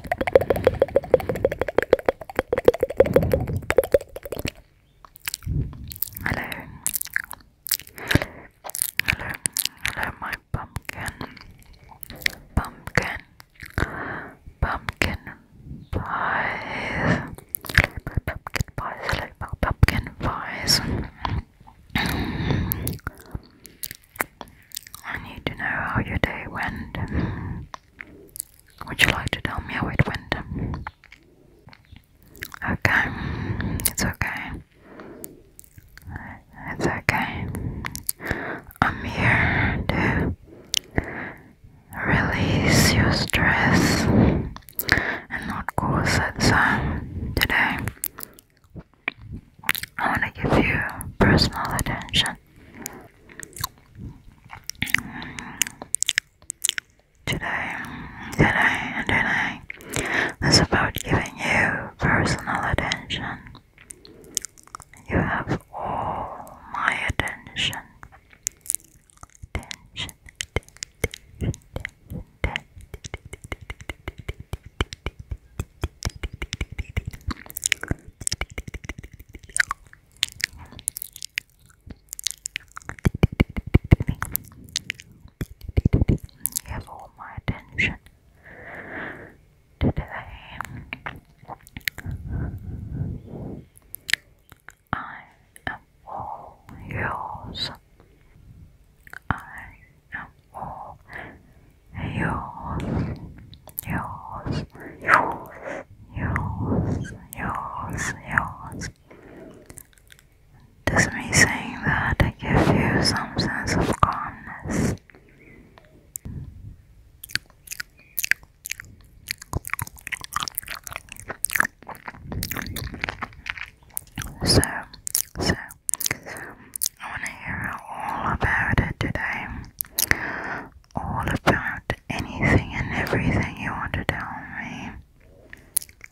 Hello. Hello. Hello my pumpkin. Pumpkin. Pumpkin pies. Pumpkin pies. Hello my pumpkin pies. I need to know how your day went. Would you like to tell me how it went? Okay, it's okay. It's okay. I'm here to release your stress and not cause it so today. I want to give you personal attention today, today, and today. It's about giving you personal attention. You have all my attention. Attention, attention, you have all my attention today. I am all yours. I all yours, yours, yours, yours, yours, yours. Does me saying that I give you some sense of calmness? So, so, I want to hear all about it today. All about anything and everything you want to tell me.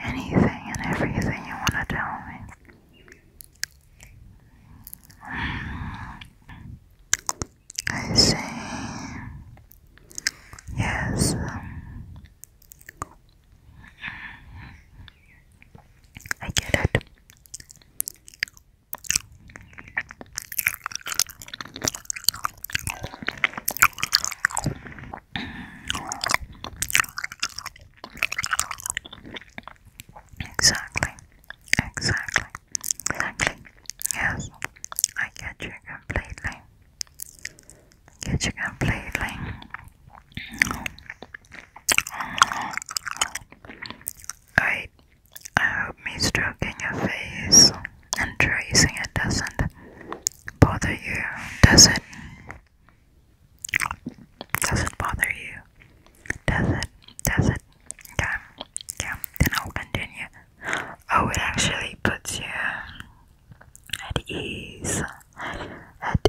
Anything and everything you want to tell me. Mm. I see. Yes. I get it. Exactly, exactly, exactly. Yes, I get you completely. Get you completely. I, I hope stroking your face and tracing it doesn't bother you, does it? Does it bother you? Does it? Does it? Okay, yeah, then I'll continue. Oh, it actually puts you at ease. At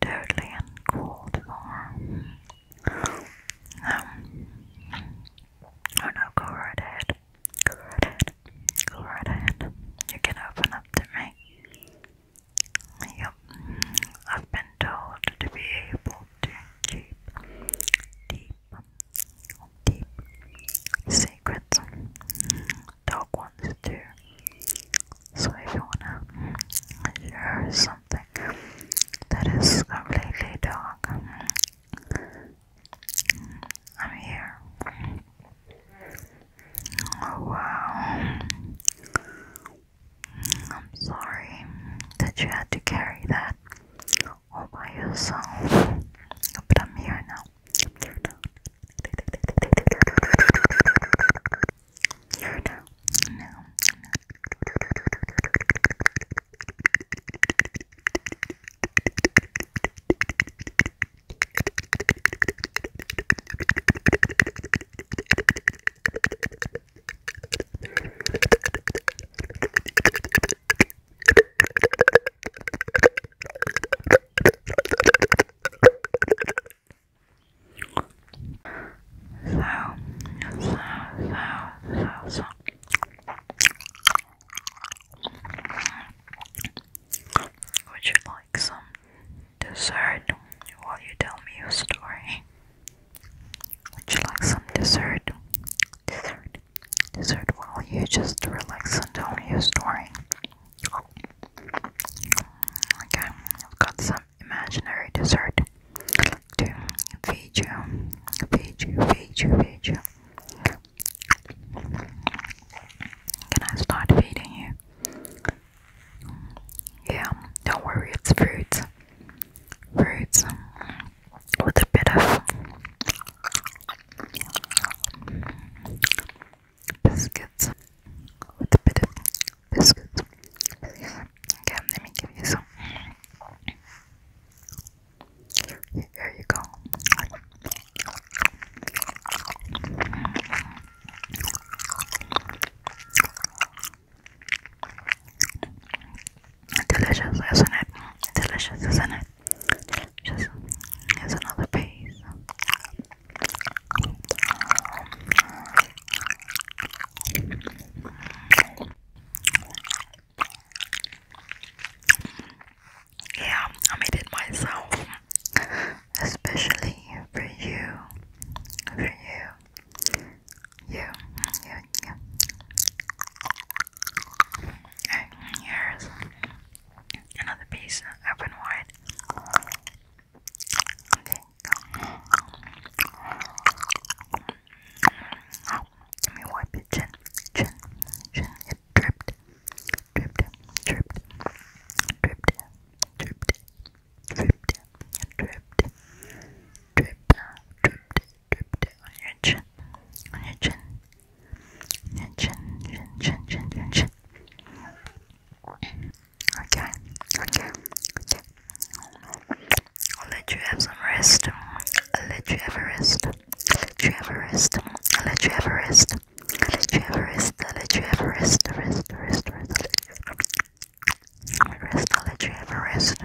totally uncalled for. Um, oh no, go right ahead. Go right ahead. Go right ahead. You can open up to me. Yep. I've been told to be able to keep deep, deep secrets dog ones too. So if you wanna hear something that is completely dog, I'm here. Oh wow. I'm sorry that you had to carry that all by yourself, but I'm here now. You're no, no, no so, so, so, so. Would you like some dessert while you tell me your story? Would you like some dessert? Dessert. Dessert while you just relax and don't use snoring. Okay, I've got some imaginary dessert to feed you, feed you, feed you, feed you. Can I start feeding you? Yeah, don't worry, it's fruits. Fruits with a bit of biscuits with a bit of biscuits. Okay, let give you some. There you go. Delicious, isn't it? Delicious, isn't it? Just here's another piece. Yeah, I made it myself, especially for you, for you, you, you here's another piece open wide. Okay. let me wipe it chin, chin, chin. It dripped, dripped, dripped, dripped, dripped, dripped, dripped, dripped, dripped, dripped, dripped, Drooped it on your chin. On your chin. On your chin, chin, chin, chin, chin, chin. Okay, okay, okay. I'll let you have some rest. I'll let you have a rest. I'll let you have a rest. I'll let you have a rest. I'll let you have a rest. I'll let you have a rest. I'll let you have a rest. Rest, I'll let you have a rest.